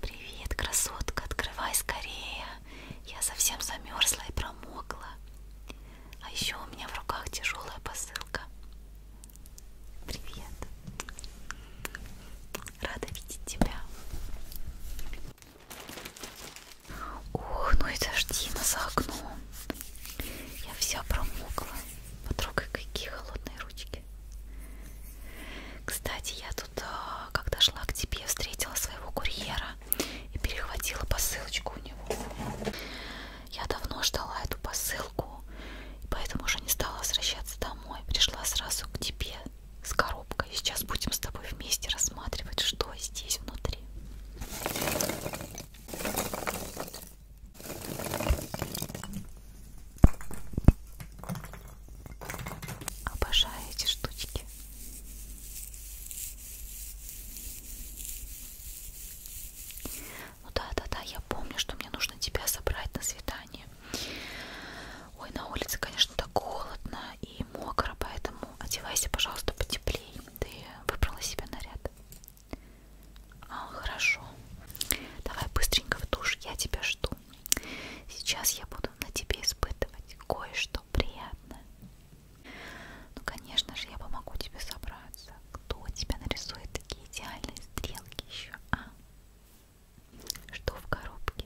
Привет, красотка, открывай скорее. Я совсем замерзла и промокла. А еще у меня в руках тяжелая посылка. Привет. Рада видеть тебя. Ух, ну и дождина за окном. Я вся промокла. Потрогай, какие холодные ручки. Кстати, я тут, а, когда шла к тебе, встретила своего курьера и перехватила посылочку у него. Я давно ждала эту посылку, поэтому уже не стала возвращаться домой. Пришла сразу к тебе с коробкой. Сейчас будем с тобой вместе рассматривать, что здесь внутри. Обожаю эти штучки. Ну да, да, да, я помню, что мне нужно тебя собрать на свидание. Ой, на улице, конечно, так холодно и мокро, поэтому одевайся, пожалуйста, потеплее. Ты выбрала себе наряд. А, хорошо. Давай быстренько в душ, я тебя жду. Сейчас я буду на тебе испытывать кое-что приятное. Ну, конечно же, я помогу тебе собраться. Кто тебя нарисует такие идеальные стрелки еще, а? Что в коробке?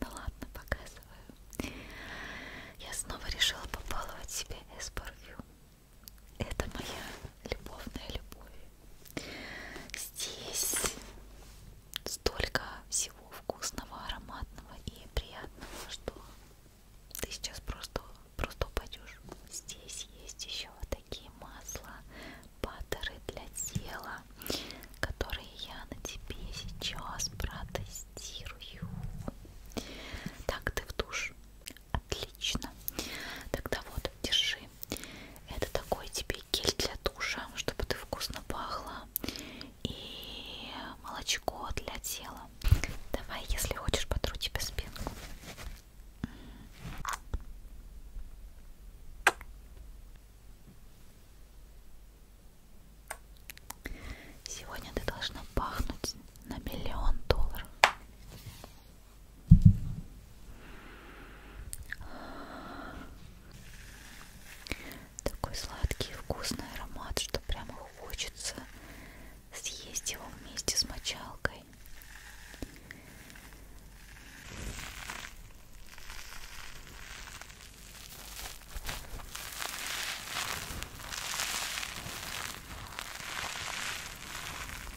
Да ну, ладно, показываю. Я снова решила побаловать себе S-парфюм. Это моя любовная любовь. Здесь столько всего вкусного, ароматного и приятного, что ты сейчас просто, просто упадешь. Здесь есть еще вот такие масла, паттеры для тела, которые я на тебе сейчас протестирую. Так, ты в душ. Отлично. Тогда вот, держи. Это такой тебе гель для душа, чтобы ты вкусно пахла. И молочко для тела. Давай, если хочешь, потру тебе спинку. Сегодня ты должна пахнуть на миллион долларов. Такой сладкий вкусный аромат, что прямо хочется съесть его вместе с мочалкой.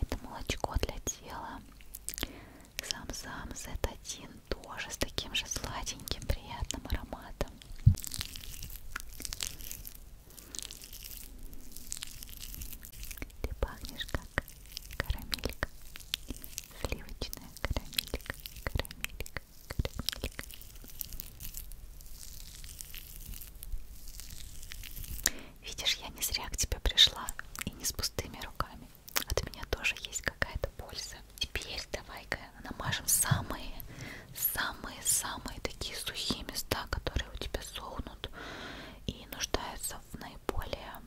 Это молочко для тела. Сам-сам Z1 тоже с таким же сладеньким приятным ароматом. Ты пахнешь как карамелька. Сливочная карамелька, карамелька, Видишь, я не зря к тебе пришла и не с пустыми руками. От меня тоже есть какая-то польза. Теперь давай-ка намажем самые, самые, самые такие сухие места, которые у тебя сохнут и нуждаются в наиболее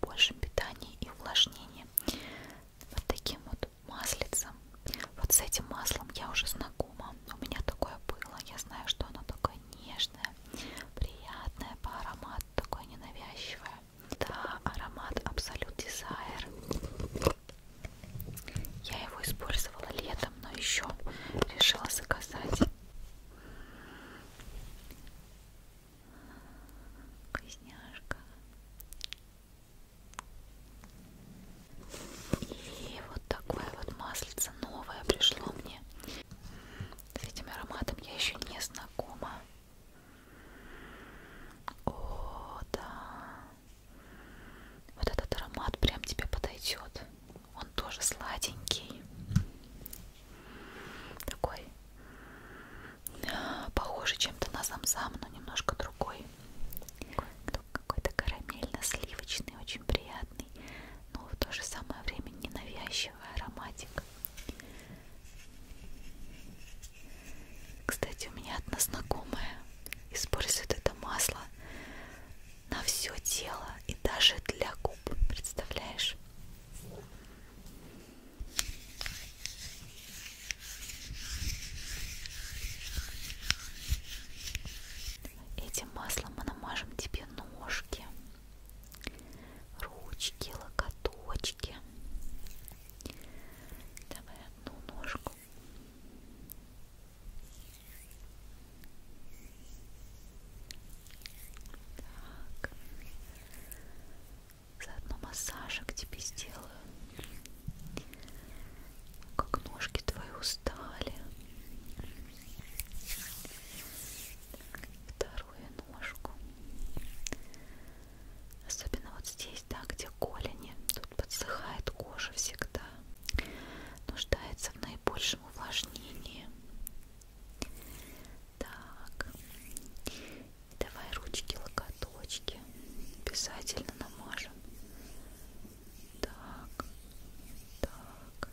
большем питании и увлажнении. Вот таким вот маслицем. Вот с этим маслом я уже знакома. У меня такое было. Я знаю, что оно такое нежное, приятное по аромату, такое ненавязчивое. Да, аромат Absolute Desire. Я его использовала летом, но еще решила заказать. Вкусняшка. И вот такое вот маслице новое пришло мне. С этим ароматом я еще не знакома. О, да. Вот этот аромат прям тебе подойдет. Он тоже сладенький. Такой а, похожий чем-то на замзам, но немножко другой. Такой какой-то карамельно-сливочный, очень приятный, но в то же самое время ненавязчивый ароматик. Кстати, у меня одна знакомая использует это масло на все тело и даже для губ, представляешь? Этим маслом мы намажем тебе ножки, ручки, локоточки. Давай одну ножку. Так. Заодно массажик тебе сделаю как ножки твои устали. Так, вторую ножку. Особенно вот здесь, да, где голени. Тут подсыхает кожа всегда. Нуждается в наибольшем увлажнении. Так. Давай ручки, локоточки. Обязательно намажем так, так.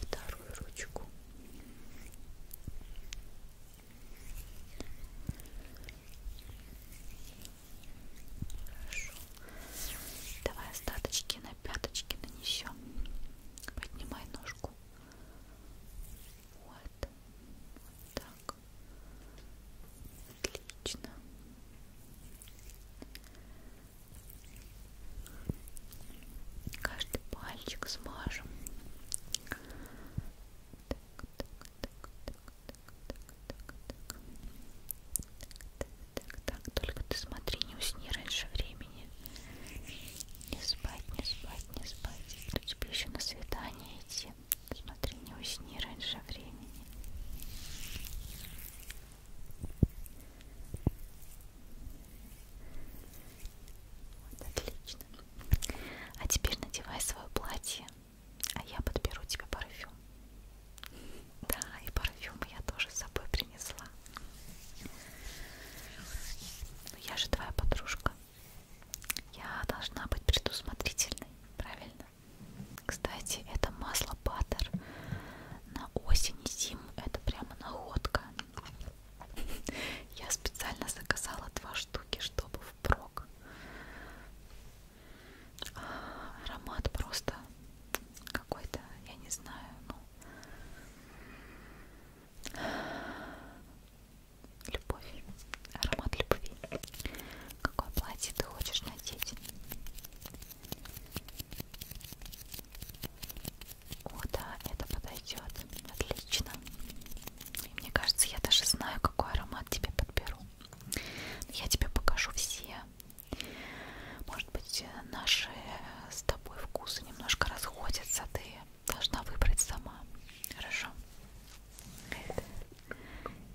Вторую ручку. Хорошо. Давай остаточки на пяточки нанесем. Поднимай ножку. Вот. Вот так так отлично каждый пальчик смажем так, так, так, так, так, так, так. Так, так, только ты смотри, не усни раньше времени. Не спать, не спать, не спать. Тут тебе еще на свидание идти спи. Смотри, не усни раньше времени. Вот, отлично. А теперь надевай свое платье, а я подберу тебе парфюм. Да, и парфюм я тоже с собой принесла. Но я же твоя подружка. Я должна быть предусмотрительной, правильно? Кстати, это масло баттер на осень и зиму. Это прямо находка. Я специально заказала два штуки, чтобы впрок. А, аромат просто какой-то, я не знаю, ну Любовь. Аромат любви. Какое платье ты хочешь надеть? О, да, это подойдет. Отлично. И мне кажется, я даже знаю, какой аромат тебе подберу. Я тебе покажу все. Может быть, э, наши э, с тобой вкусы немножко расходятся. Ты должна выбрать сама. Хорошо?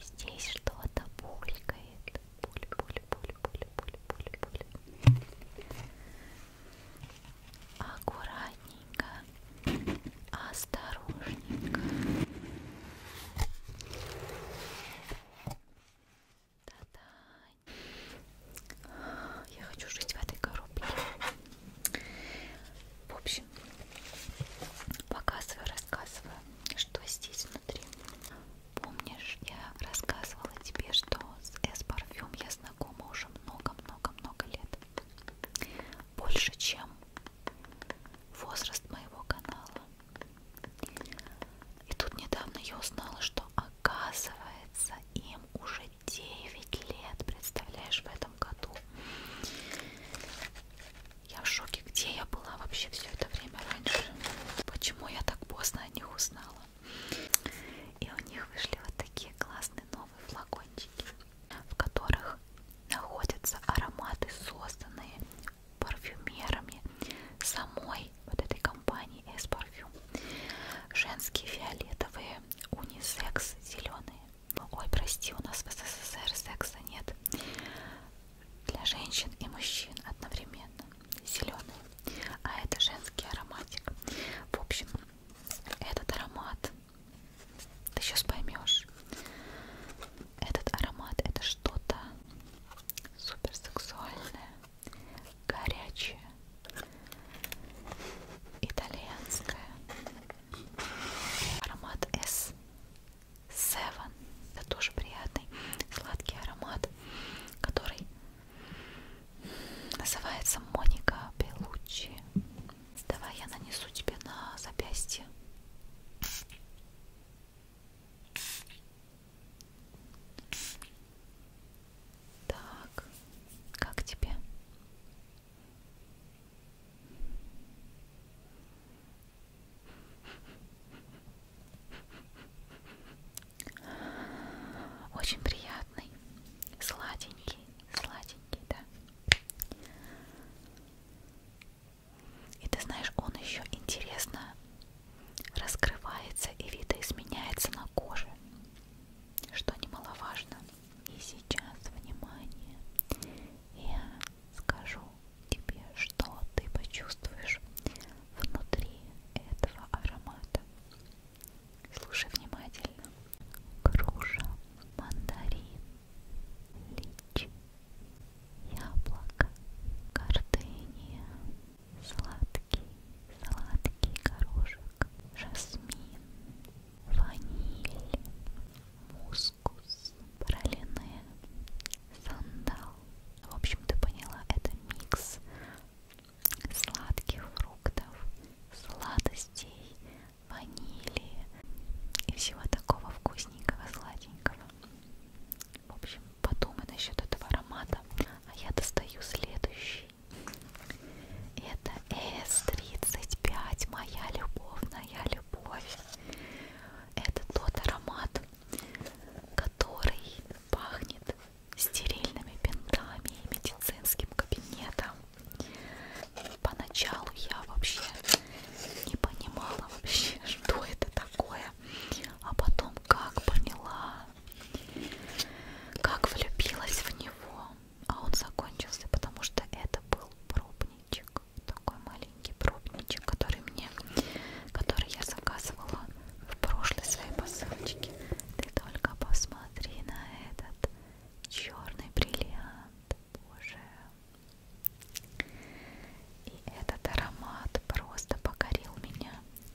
Здесь что-то булькает. Буль, буль, буль, буль, буль, буль, буль. Аккуратненько, осторожненько. Да-да. Я хочу жить в этой коробке. В общем, показываю, рассказываю, что здесь внутри. Помнишь, я рассказывала тебе, что с S-парфюм я знакома уже много-много-много лет. Больше, чем возраст моего канала. И тут недавно я узнала, что оказывается им уже 9 лет, представляешь, в этом году. Я в шоке, где я была вообще все это время раньше. Почему я так поздно о них узнала? И у них вышли вот такие классные новые флакончики, в которых находятся ароматы, созданные парфюмерами самой вот этой компании S-Parfum. Женские фиолетовые, унисекс зеленые, ну, ой, прости, у нас в СССР секса нет. Для женщин и мужчин одновременно. Зеленый. А это женский ароматик. В общем, этот аромат, ты сейчас поймешь, этот аромат это что-то суперсексуальное, горячее, итальянское. Аромат S Seven. Это тоже приятный сладкий аромат, который называется Моника Белучи. Давай я нанесу тебе на запястье. Так, как тебе? Очень приятный, сладенький, сладенький, да. И ты знаешь, он еще интересно раскрывается и видоизменяется на коже, что немаловажно. И сейчас, внимание, я скажу тебе, что ты почувствуешь внутри этого аромата. Слушай внимательно. Груша, мандарин, лич, яблоко, гортения, сладкий, сладкий горошек, жасмин, ваниль, мусс, мускус, пролине, сандал. В общем, ты поняла, это микс сладких фруктов, сладостей, ванили и всего такого вкусненького, сладенького. В общем, подумай насчет этого аромата, а я достаю следующий. Это S35, моя любовная любовь это тот аромат, который пахнет стерильными бинтами и медицинским кабинетом. Поначалу я вообще не понимала вообще, что это такое, а потом как поняла, как влюбилась в него, а он закончился, потому что это был пробник пробничек, такой маленький пробничек, который мне, который я заказывала в прошлой своей посылочке. Ты только посмотри на этот черный бриллиант, боже. И этот аромат просто покорил меня.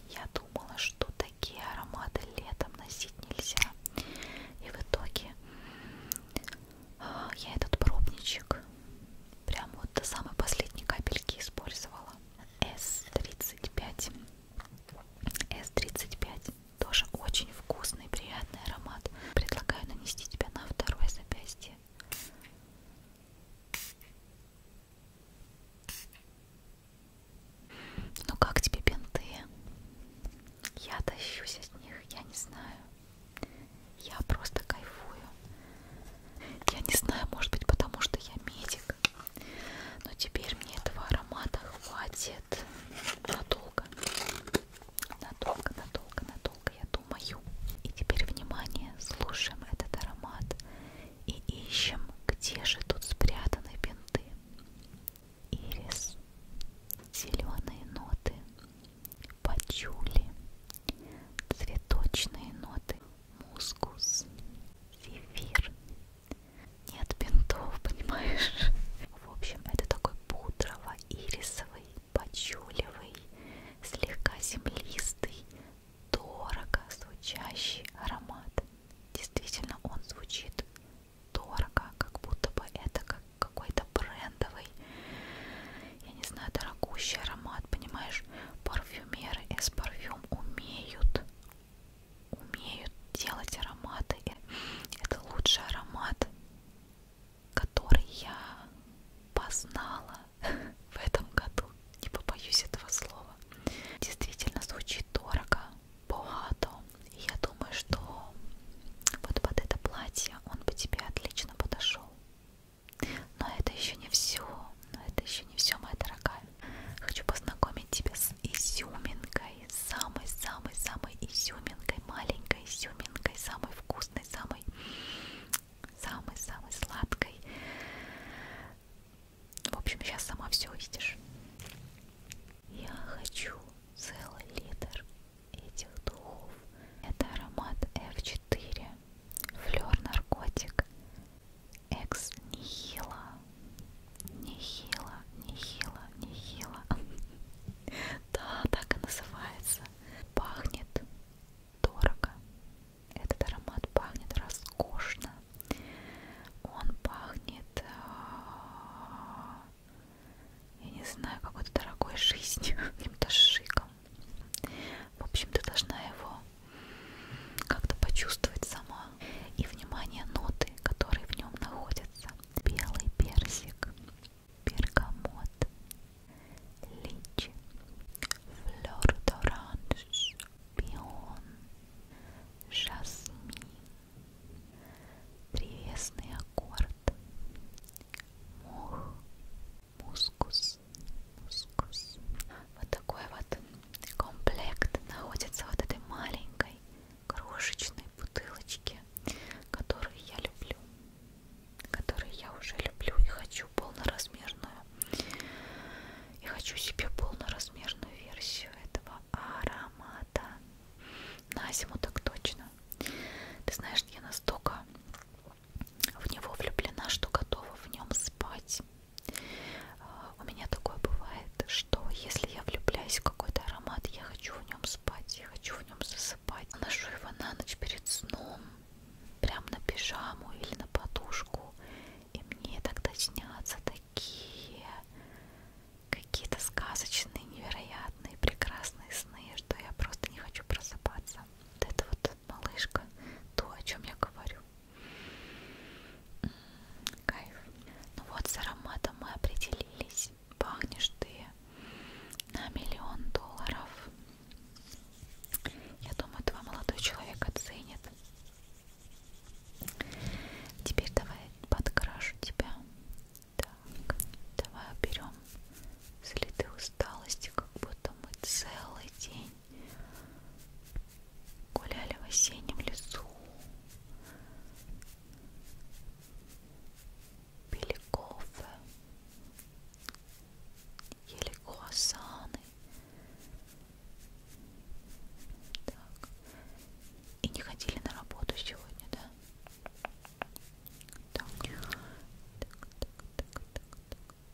Я думала, что такие ароматы летом носить нельзя. И в итоге я этот пробничек прям вот до самой последней капельки использовала. S35. S35 тоже очень вкусный, приятный аромат. Предлагаю нанести тебя на второе запястье. Ну как тебе бинты? Я тащусь от них, я не знаю. Я просто кайфую. Я не знаю, может быть, потому что я медик. Но теперь мне этого аромата хватит надолго. Надолго, надолго, надолго, я думаю. И теперь, внимание, слушаем этот аромат и ищем, где же тут спрятаны бинты. Ирис, зеленые ноты, пачули, цветочные ноты, мускус, зефир. Нет бинтов, понимаешь? В общем, это такой пудрово-ирисовый, пачулевый, слегка землистый, дорого звучащий аромат. Действительно, он звучит дорого, как будто бы это как какой-то брендовый, я не знаю, дорогущий аромат, понимаешь, парфюмеры из парфюм умеют, умеют делать ароматы, и это лучший аромат, который я познала в этом году, не побоюсь этого слова, действительно звучит дорого, богато, и я думаю, что вот под это платье он бы тебе отлично подошел. Но это еще не все, но это еще не все, моя дорогая. Хочу познакомить тебя с изюминкой, самой-самой-самой изюминкой, маленькой изюминкой, самой вкусной, самой, самой-самой сладкой. В общем, сейчас сама все увидишь. Я хочу целый литр этих духов. Это аромат F4, флер наркотик, экс нехила, нехила, нехила, нехила. Да, так и называется. Пахнет дорого. Этот аромат пахнет роскошно. Он пахнет, а, я не знаю, какой-то дорогой жизнью, каким-то шиком. В общем, ты должна его как-то почувствовать сама. И, внимание, ноты, которые в нем находятся. Белый персик, бергамот, личи, флёр д'оранж, пион, жасмин, древесный аккорд, мох, мускус, мускус. Вот такой вот комплект находится вот этой маленькой крошечной бутылочке, которую я люблю, которую я уже люблю и хочу полноразмерную. И хочу себе полноразмерную версию этого аромата. На зиму так точно. Ты знаешь, я настолько в него влюблена, что готова в нем спать. А, у меня такое бывает, что если я влюбляюсь в какой-то аромат, я хочу в нем спать, я хочу в нем засыпать. Ношу его на ночь перед сном, прям на пижаму или на подушку. И мне тогда снятся такие какие-то сказочные, невероятные, прекрасные сны, что я просто не хочу просыпаться. Вот это вот этот малышка, то, о чем я говорю. Кайф. Ну вот с ароматом мы определились. Пахнешь ты на миллион долларов. Я думаю, твой молодой человек оценит. Теперь давай подкрашу тебя. Так, давай уберем следы усталости, как будто мы целый день гуляли в осеннем лесу, пили кофе, ели круассаны. Так. И не ходили на работу сегодня, да? Так. Так, так, так, так, так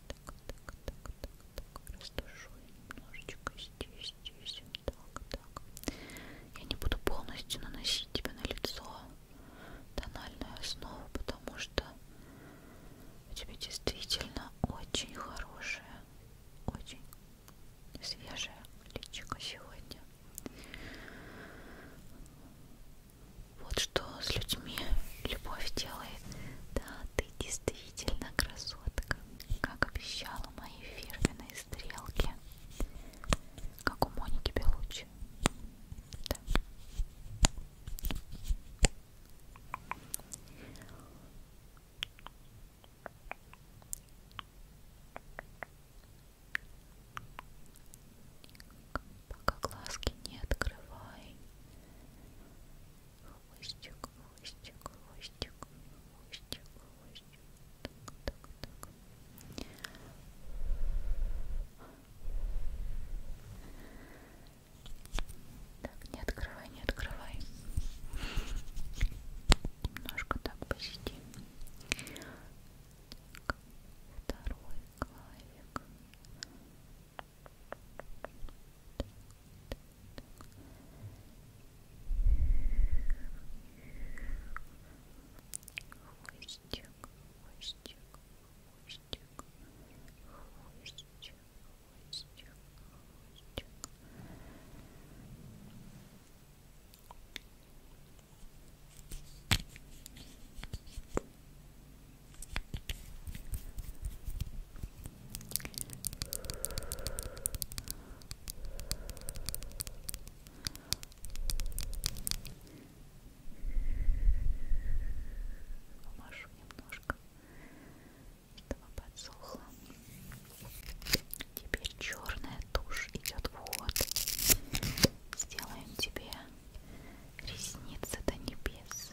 так, так, так, так, растушую немножечко здесь, здесь, так, так. Я не буду полностью наносить тебе на лицо тональную основу, потому что у тебя действительно очень хорошая, очень свежая личико сегодня. Вот что с людьми любовь делает. Да, ты действительно красотка, как обещала мои фирменные стрелки, как у Моники Белучи. Да пока глазки не открывай. Хвостик, хвостик, хвостик, хвостик, хвостик. Так, так, так. Так, не открывай, не открывай. Немножко так посидим. Так, второй клавик хвостик, хвостик, хвостик, хвостик, хвостик, хвостик. Помашу немножко, чтобы подсохло. Теперь черная тушь идет вот. Сделаем тебе ресницы до небес.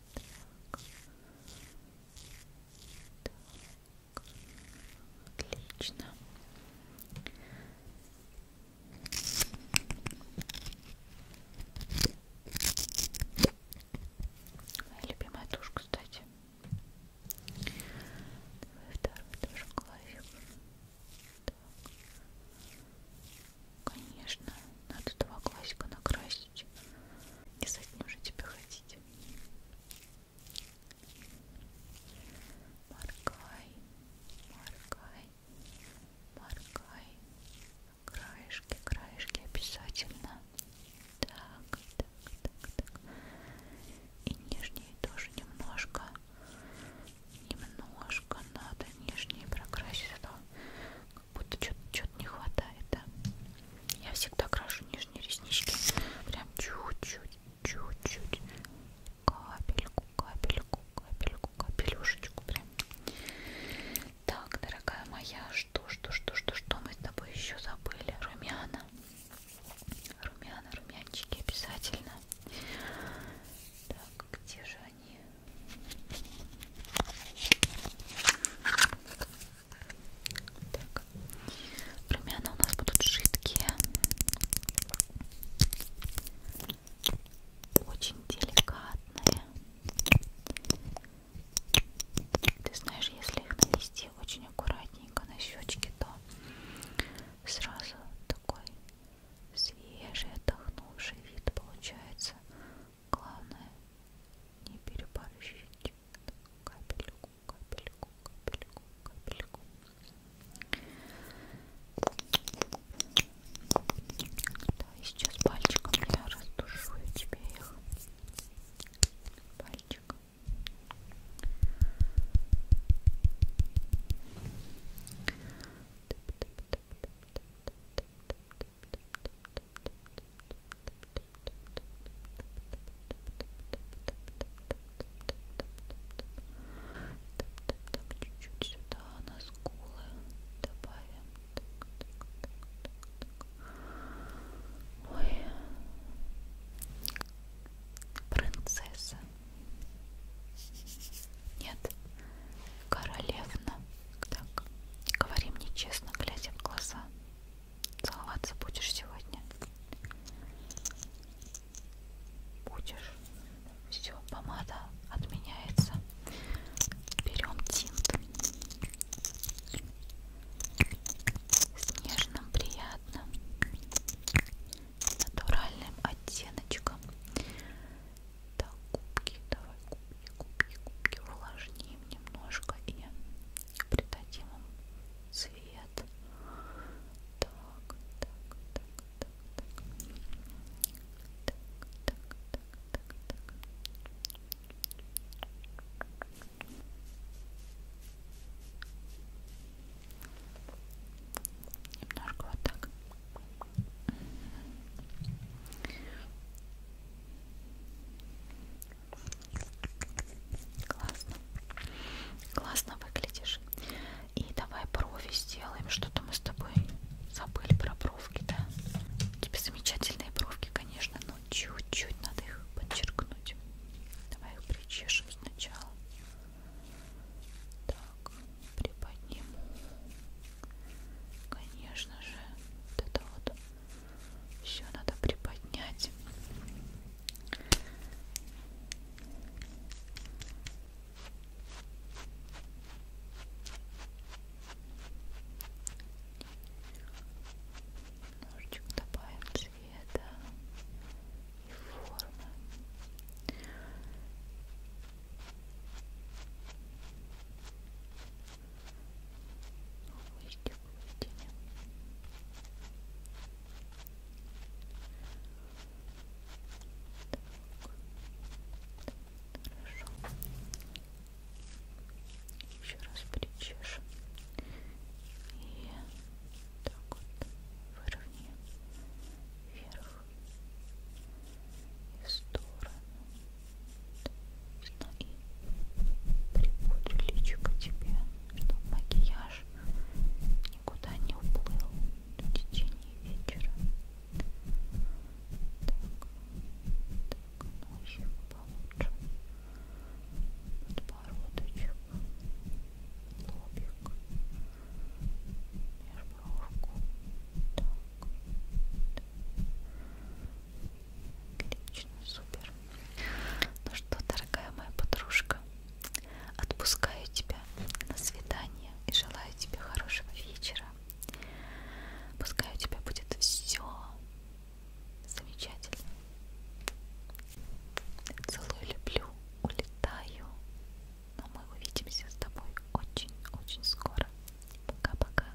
Так. Так. Отлично. Моя любимая тушь, кстати. Давай второй тоже классик. Так. Конечно, надо два классика накрасить тысяч. Не за уже тебя ходить. Моргай, моргай, моргай. Краешки, краешки обязательно. Так, так, так, так. И нижние тоже немножко. Немножко надо нижние прокрасить, а то как будто что-то не хватает, да? Я всегда крашу нижние реснички, прям чуть-чуть, чуть-чуть, капельку, капельку, капельку, капелюшечку прям. Так, дорогая моя, что, что, что, что, что мы с тобой еще забыли? Румяна. Румяна, румянчики обязательно. Так, где же они? Так. Румяна у нас будут жидкие. Очень деликатные. Ты знаешь, если их нанести очень аккуратненько на щечки, то сразу такой свежий, отдохнувший вид получается. Главное не переборщить капельку, капельку, капельку, капельку. Да, и сейчас пальчиком я растушу тебе их. Пальчиком. Тып -тып -тып -тып -тып -тып -тып -тып -тып -тып -тып так чуть-чуть сюда на скулы добавим Ой. принцесса нет королевна так, говори мне честно, глядя в глаза. Целоваться будешь сегодня? Будешь. Все, помада отменяется. Берем тинт. С нежным, приятным, натуральным оттеночком. Так, губки, давай губки губки, губки увлажним немножко и придадим им цвет. Так, так, так, так, так. Так, так, так, так, так. Немножко вот так. Классно. Классно выглядишь. И давай брови сделаем. Что-то мы с тобой забыли про бровки, да? У тебя замечательные бровки, конечно, но чуть-чуть надо их подчеркнуть. Давай их причешем сначала. Так, приподниму. Конечно же, вот это вот еще надо приподнять. Ножичек добавим цвета и формы вышки поведения. Хорошо. Еще раз причешем. И так вот выровняем вверх и в сторону. Собственно, и припудрю личико тебе, чтобы макияж никуда не уплыл в течение вечера. Так, так, носик получше. Подбородочек, лобик, межбровку. Так, так. Отлично, супер. Ну что, дорогая моя подружка, отпускаю тебя на свидание и желаю тебе хорошего вечера. Пускай у тебя будет все замечательно. Целую, люблю, улетаю. Но мы увидимся с тобой очень-очень скоро. Пока-пока.